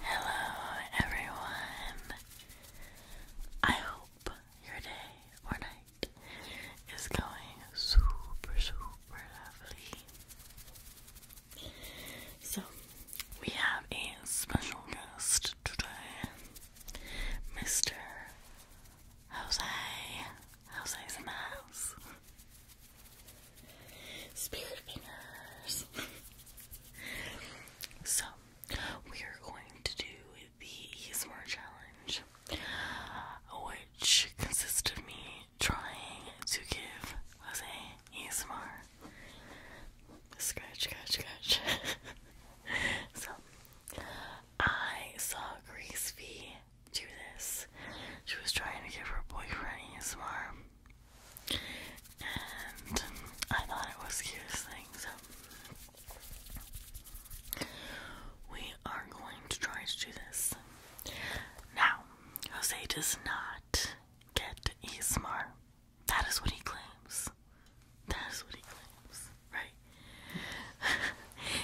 Hello, everyone. I hope your day or night is going super, super lovely. So, we have a special guest today, Mr. Jose. Jose's in the house. Spirit fingers. so, we are going to do the ASMR challenge, which consists of me trying to give Jose ASMR. Scratch, scratch, scratch. so, I saw Grace do this. She was trying to give her boyfriend ASMR, and I thought it was the cutest thing, so we are going to try to do this. Now, Jose does not get ASMR. That is what he claims. That is what he claims, right?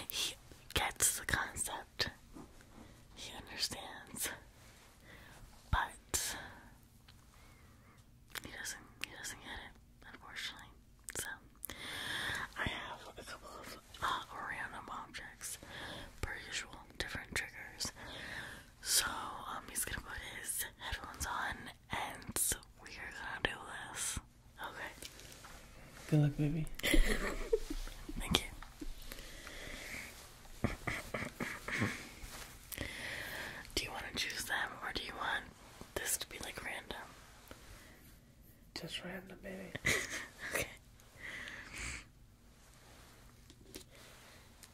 he gets the concept. He understands. But he doesn't he doesn't get it, unfortunately. So I have a couple of uh, random objects per usual, different triggers. So um he's gonna put his headphones on and we are gonna do this. Okay. Good luck, baby. Thank you. do you want to choose them or do you want this to be like random? Just random, baby. okay.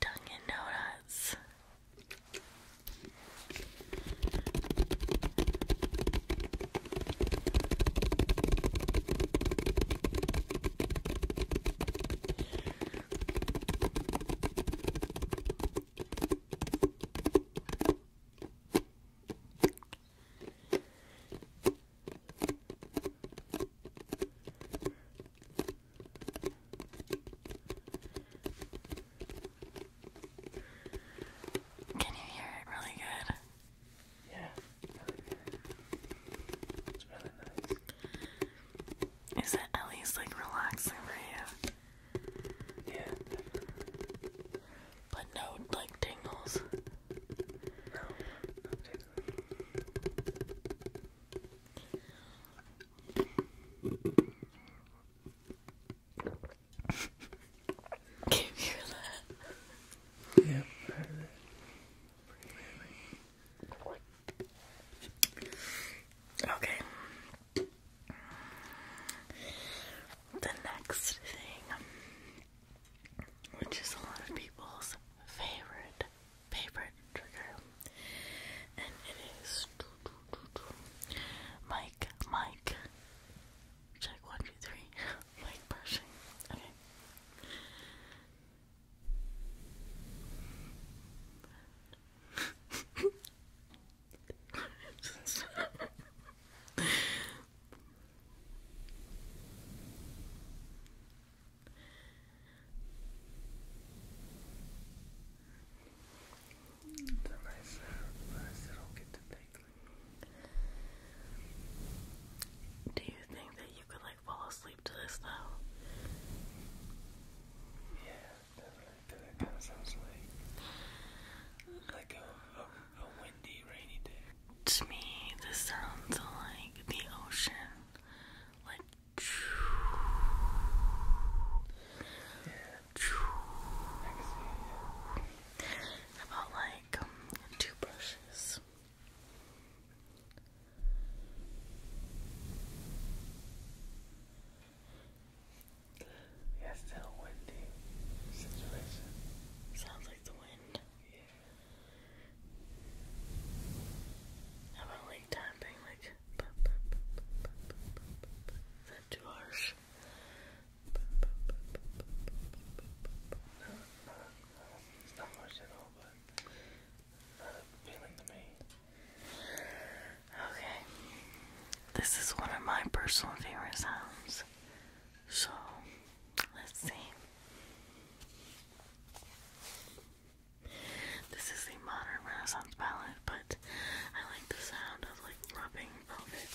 Dunkin' Donuts. Can you hear it really good? Yeah, It's really nice. Is it at like relaxing for you? Yeah, But no like tingles. No, can you hear that? Yeah, Okay. The next thing, which is a lot of people's favorite, favorite trigger, and it is Mike, Mike, Check one, two, three. Mic brushing. Okay. Do you think that you could like fall asleep to this though? Yeah, definitely. Cause that sounds like a, windy, rainy day. To me, this sounds like the ocean, like. Yeah. I About like like two brushes. Yeah, it's still situation. Sounds like the wind. Yeah. How about like tapping like too harsh? It's not much but a feeling to me. Okay. This is one of my personal favorite sounds. So, let's see. This is the modern Renaissance palette, but I like the sound of like rubbing velvet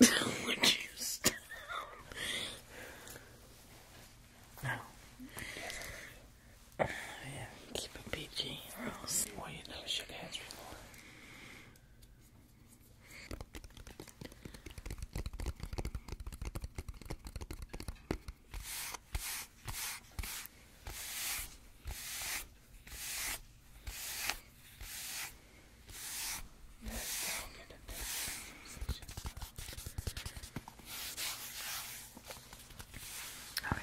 Would you stop? No. yeah, keep it PG you never shook hands before. Alright.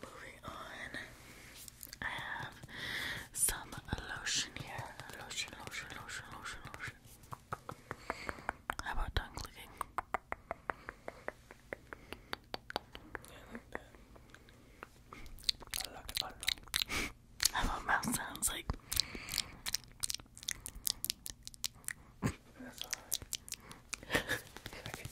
Moving on. I have some lotion here. Lotion, lotion, lotion, lotion, lotion. How about tongue clicking? I like that. I I love mouth sounds like That's alright. Okay,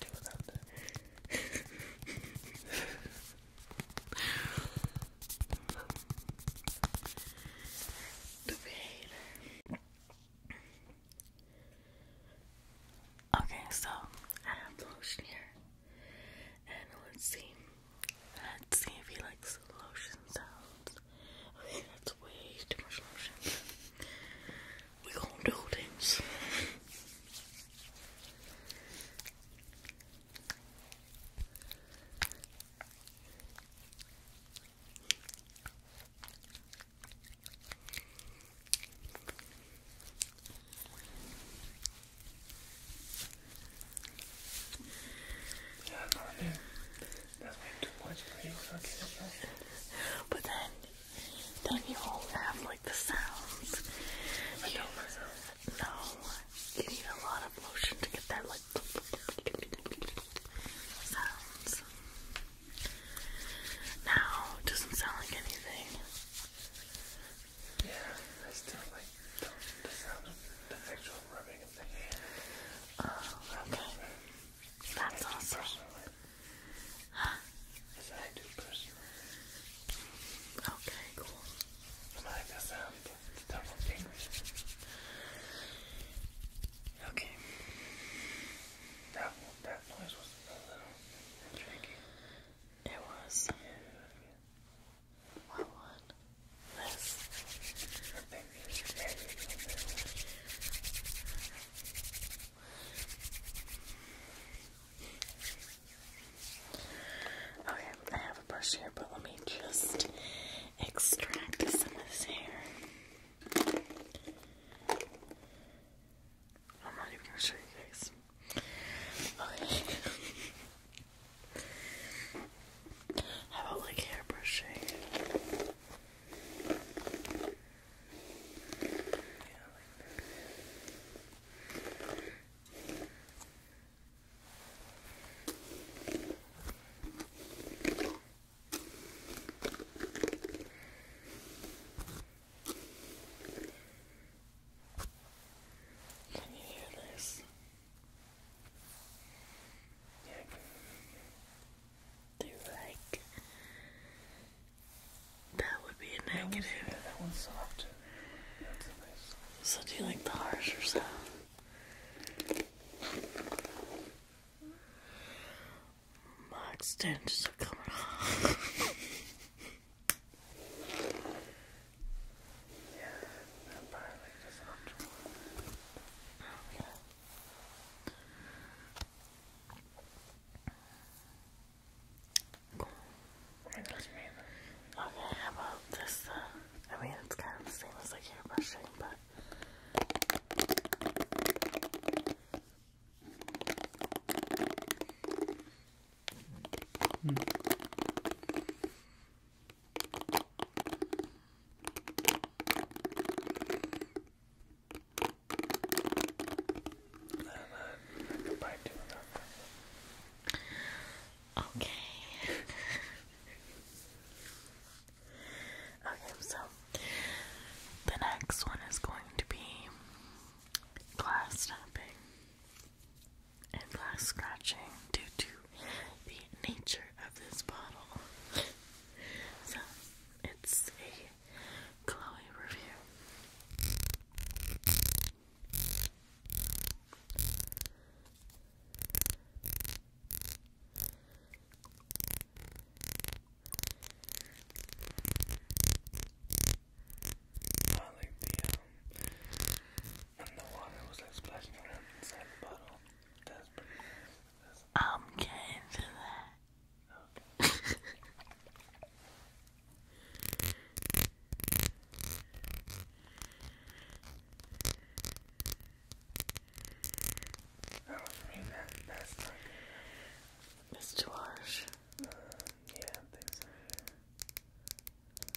so I have lotion here. And let's see. Let's see if he likes the lotion sounds. Okay, that's way too much lotion. we gonna do things. Yeah, That's way too much you. But then, don't you all have like the sounds? No, you need a lot of motion to get that like sounds. Now, it doesn't sound like anything. Yeah, I still like the, sound the actual rubbing of the Oh, okay. That's awesome. Huh? As I do personally. Okay, cool. i like the sound double fingers. Okay. That that noise was a little tricky. It was. Okay, I have a brush here, but let me just extract some of this hair. I'm not even gonna show you guys this. How about like hair brushing? can you hear this? They're like that would be a negative. That one's, that So do you like the harsher sound? My extensions are coming off. Yeah, apparently it's not true. Yeah. Cool. It does mean that. Okay, how about this? Uh, I mean, it's kind of the same as like hair brushing, but. Okay. okay, so the next one is going to be glass tapping and glass scratching due to the nature of this bottle. so it's a Chloe review. And the water was like splashing around inside the bottle. That's pretty nice. That's I'm getting to that. Okay. I don't mean that. That's not good. It's too harsh. Uh, yeah, I think so.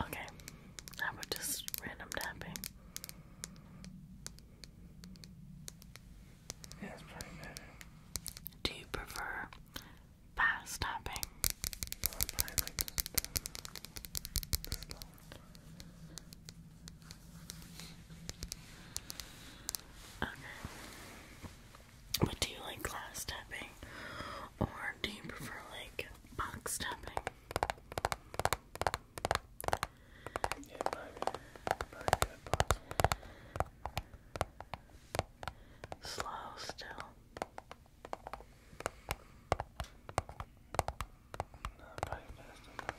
Okay, how about just random tapping? Yeah, pretty good. Do you prefer fast tapping? Okay. But do you like glass tapping or do you prefer like box tapping? Yeah, probably, probably box. Slow still.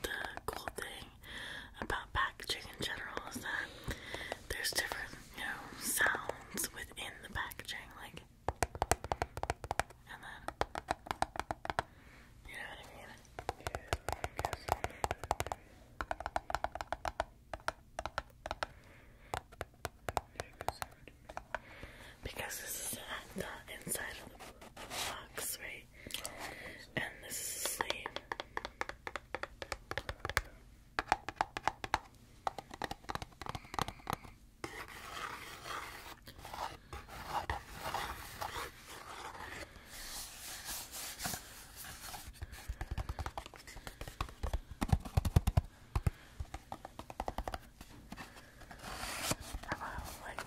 the cool thing about packaging in general is that there's different you know, sounds within the packaging, like, and then, you know what I mean? Because this is the, inside of the box, right? And this is the sleeve like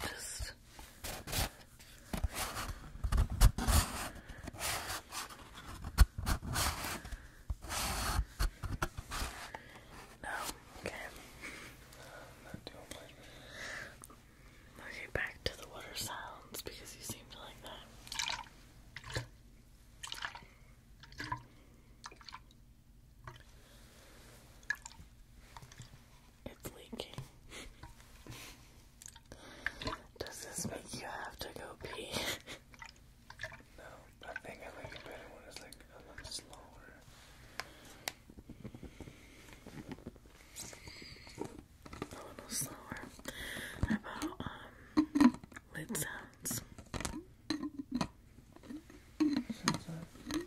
just no, okay. Not doing Okay, back to the water sounds because you seem to like that. It's leaking. Does this make you have to go pee? No, I think I like it better when it's like a lot slower. A little slower. about um lid sounds? Sounds like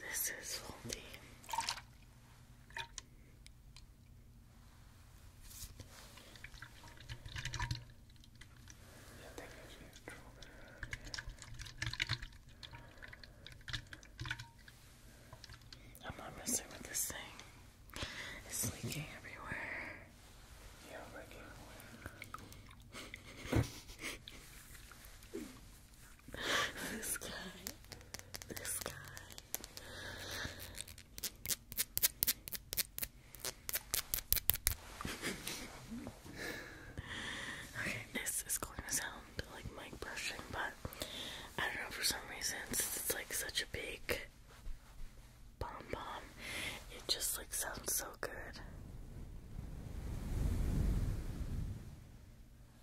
this is faulty. I am not messing with this thing. It's leaking everywhere. this guy. This guy. okay, this is going to sound like mic brushing, but I don't know for some reason it's like such a big bomb bomb, it just like sounds so good.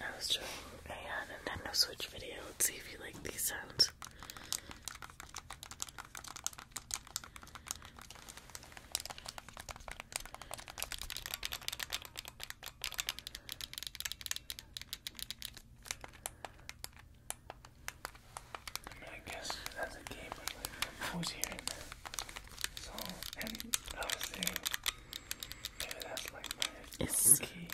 I was doing a uh, Nintendo Switch video. Let's see if you like these sounds. I mean, I guess that's a game of like composing and so and I was saying maybe that's like my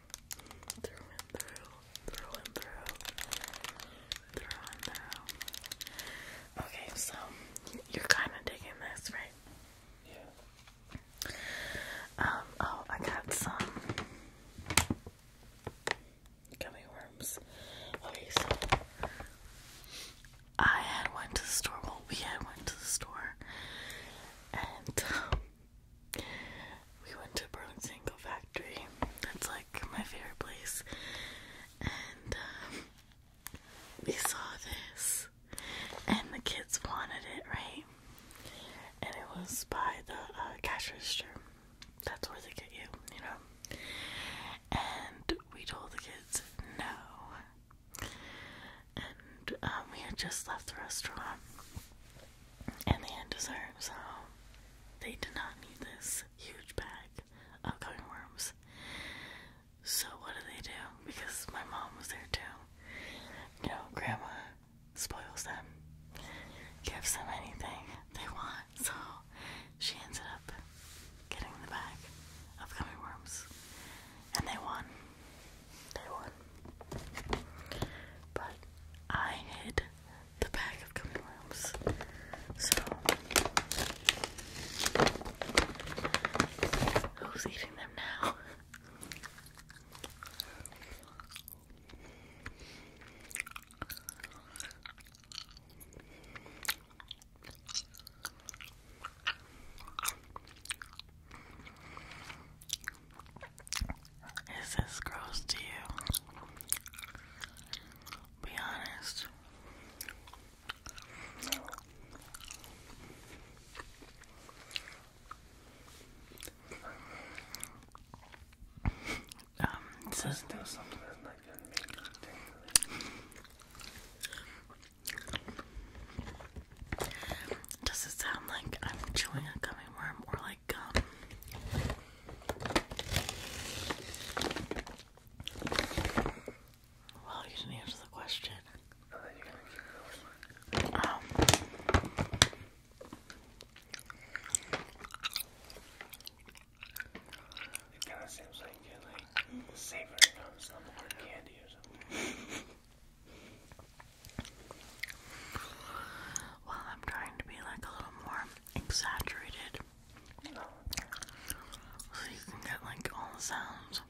Through and through, through and through, through and through. Okay, so you're kind of digging this, right? Yeah. Um. Oh, I got some gummy worms. Okay, so I had went to the store. Well, we had went to the store, and um, we went to Burlington Single Factory. That's like my favorite place. And um, we saw this, and the kids wanted it, right? And it was by the uh, cash register. That's where they get you, you know. And we told the kids no. And um, we had just left the restaurant, and they had so they did not need this huge bag of coming worms. So what do they do? Because my mom was there too. You know, grandma spoils them, gives them anything they want. So she ended up getting the bag of coming worms, and they won. Day one. But I hid the bag of gummy So who's eating them now? Is this gross to you? Be honest. Um, Does it sound like I'm chewing a gummy worm or like well, you didn't answer the question. it kind of seems like you're like savoring on some hard candy or something. Well, I'm trying to be like a little more exaggerated so you can get like all the sounds.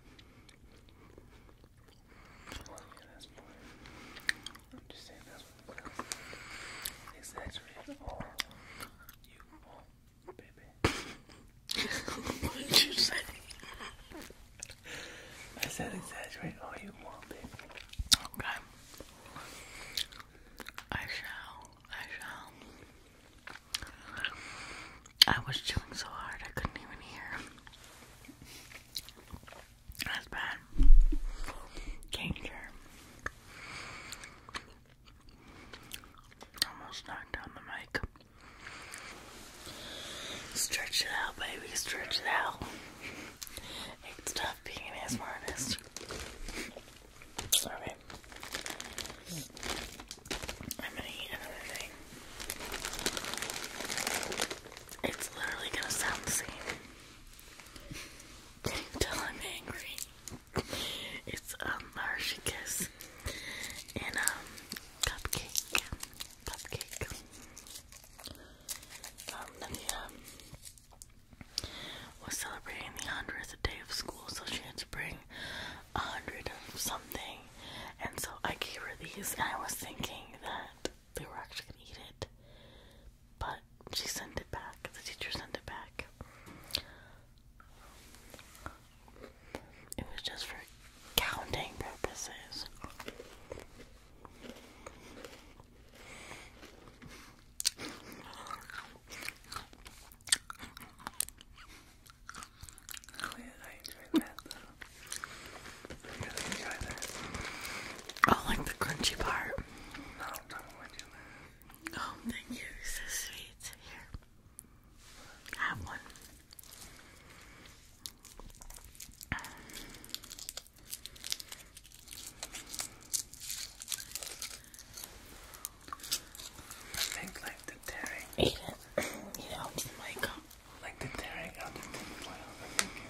Oh, what did you say? I said exaggerate all you want, baby. Okay. I shall. I shall. I was chewing so hard I couldn't even hear. That's bad. Danger. Almost knocked down the mic. Stretch it out, baby. Stretch it out. It's tough being an ass, artist. Alright. I'm gonna eat another thing. It's literally gonna sound the same. Can you tell I'm angry? It's um Hershey Kiss and um cupcake. Cupcake. Um, Navia um, was celebrating the hundredth day of school, so she had to bring a hundred of something, and so I gave her these, and I was thinking that they were actually gonna eat it, but she sent it back. The teacher sent it back. It was just for counting purposes. I like the crunchy part. Oh, thank you. so sweet. Here. Have one. I think like the tearing. Eat it. Eat um, Like the tearing out the tin foil. I think it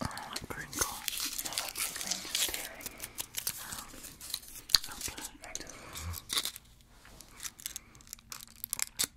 I don't want crinkle. No, i tearing. Um,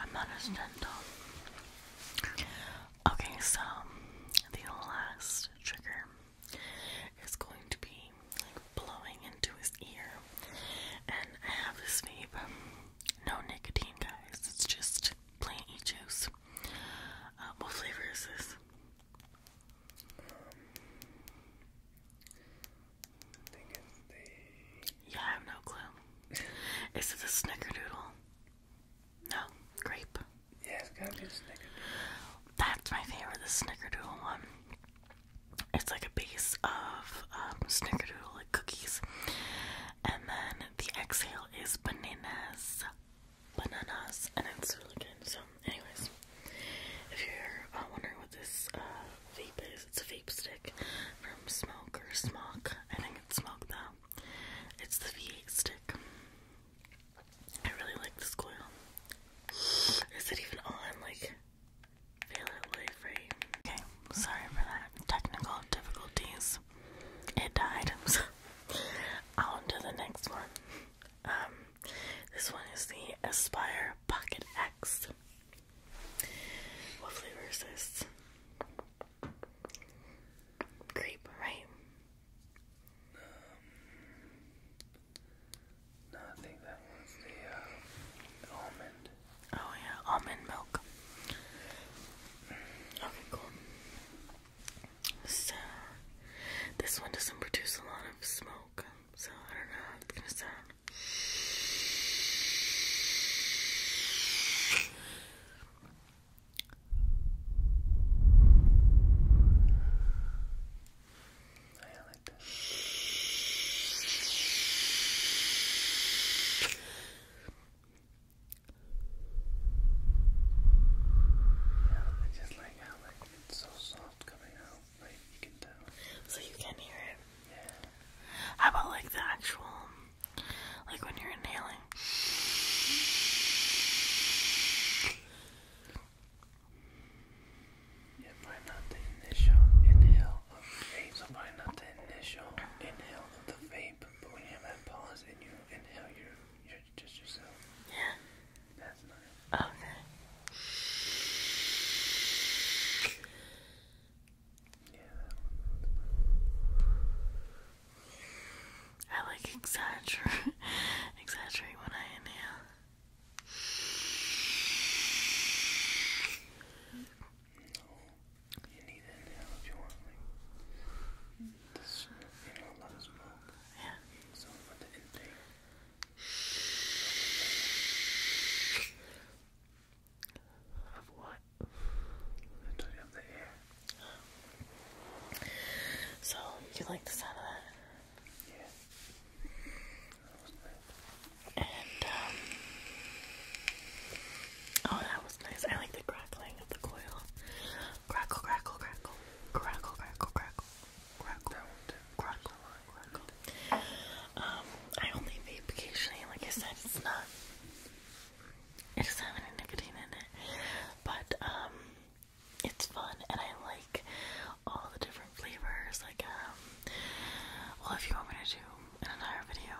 I'm not as gentle. Okay, so the last trigger is going to be like blowing into his ear. And I have this vape. No nicotine, guys. It's just plain e juice. Uh, what flavor is this? Yeah, I have no clue. Is it a snickerdoodle? No, grape. Yeah, it's gotta be snickerdoodle. That's my favorite, the snickerdoodle one. It's like a base of um, snickerdoodle, like cookies. And then the exhale is bananas. Bananas. And it's really good, so anyways, if you're uh, wondering what this uh, vape is, it's a vape stick from Smoke or I think it's Smoke though. It's the v stick. I really like this coil. Is it even on? Like, feel it life, right? Okay, sorry for that. Technical difficulties. It items. on to the next one. Um, this one is the Aspire Pocket X. What flavor is this? Grape, right? Um, no, I think that one's the uh, almond. Oh yeah, almond milk. Okay, cool. So, this one doesn't produce a lot of smoke, so I don't know how it's gonna sound. Yeah, like that. Yeah, I just like how like it's so soft coming out. So you can hear it? Yeah. How about like the actual, like when you're inhaling? Yeah, probably not the initial inhale of vape. So probably not the initial inhale of the vape, but when you have that pause and you inhale, you're, just yourself. Yeah. That's nice. Okay. Oh, yeah. I like exaggerate, exaggerate when I inhale. No, you need to inhale if you want. Yeah. Of what? I the air. So, you like the sound of that? Yeah. Um, oh, that was nice. I like the crackling of the coil. Crackle, crackle, crackle. Crackle, crackle, crackle. Crackle, crackle. Um, I only vape occasionally, like I said, it's not it just not a any nicotine in it. But um it's fun and I like all the different flavors. Like um well if you want me to do an entire video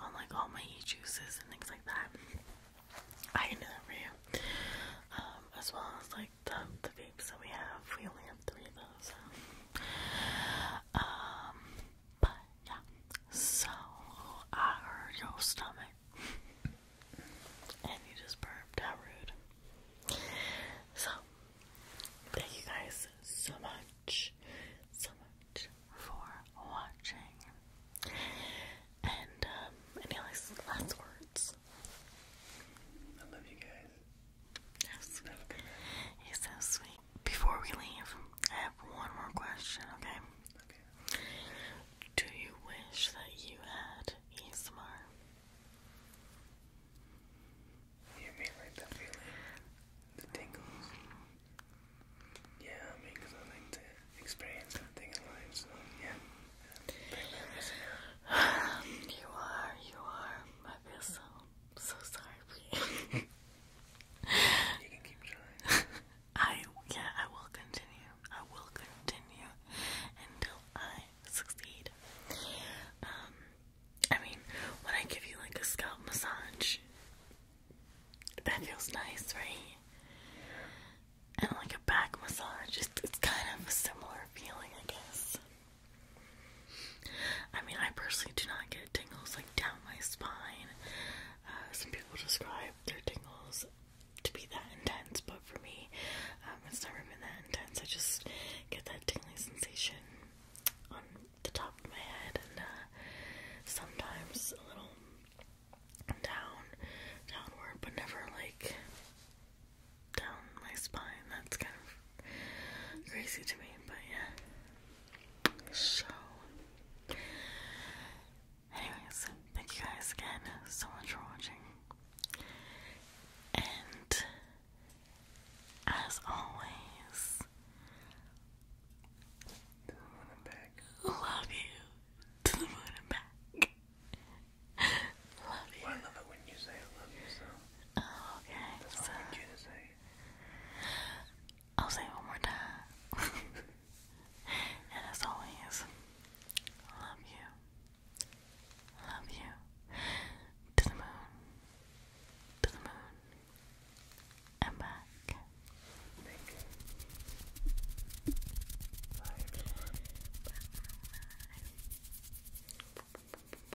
on like all my e-juices and things like that. I can do that for you. Um, as well as like the, the vapes that we have. We only have three of those. Um, but yeah. So I heard your stomach, and you just burped. How rude. So thank you guys so much, so much for watching. And um, any last words? I love you guys. Yes. He's so sweet. Before we leave, I have one more question, okay? Okay. Do you wish that you had ASMR? You mean like the feeling? The tingles? Yeah, I mean, I like to experience something in so yeah. You are, you are. I feel I'm so sorry. you can keep trying. I yeah, I will continue. I will continue until I succeed. Um, I mean, when I give you like a scalp massage, that feels nice, right? And like a back massage, it's, it's kind of a similar feeling, I guess. I mean, I personally do not get tingles like down my spine. Uh, some people describe their tingles to be that intense, but for me, um, it's never been that intense. I just get that tingling sensation on the top of my head and uh, sometimes a little down, downward, but never like down my spine. That's kind of crazy to me, but yeah. So, anyways, thank you guys again so much for watching. And as always, Love you to the moon and back. love you. I love it when you say I love you so. Oh, okay. I will say one more time. and as always, love you. Love you. To the moon. To the moon. And back.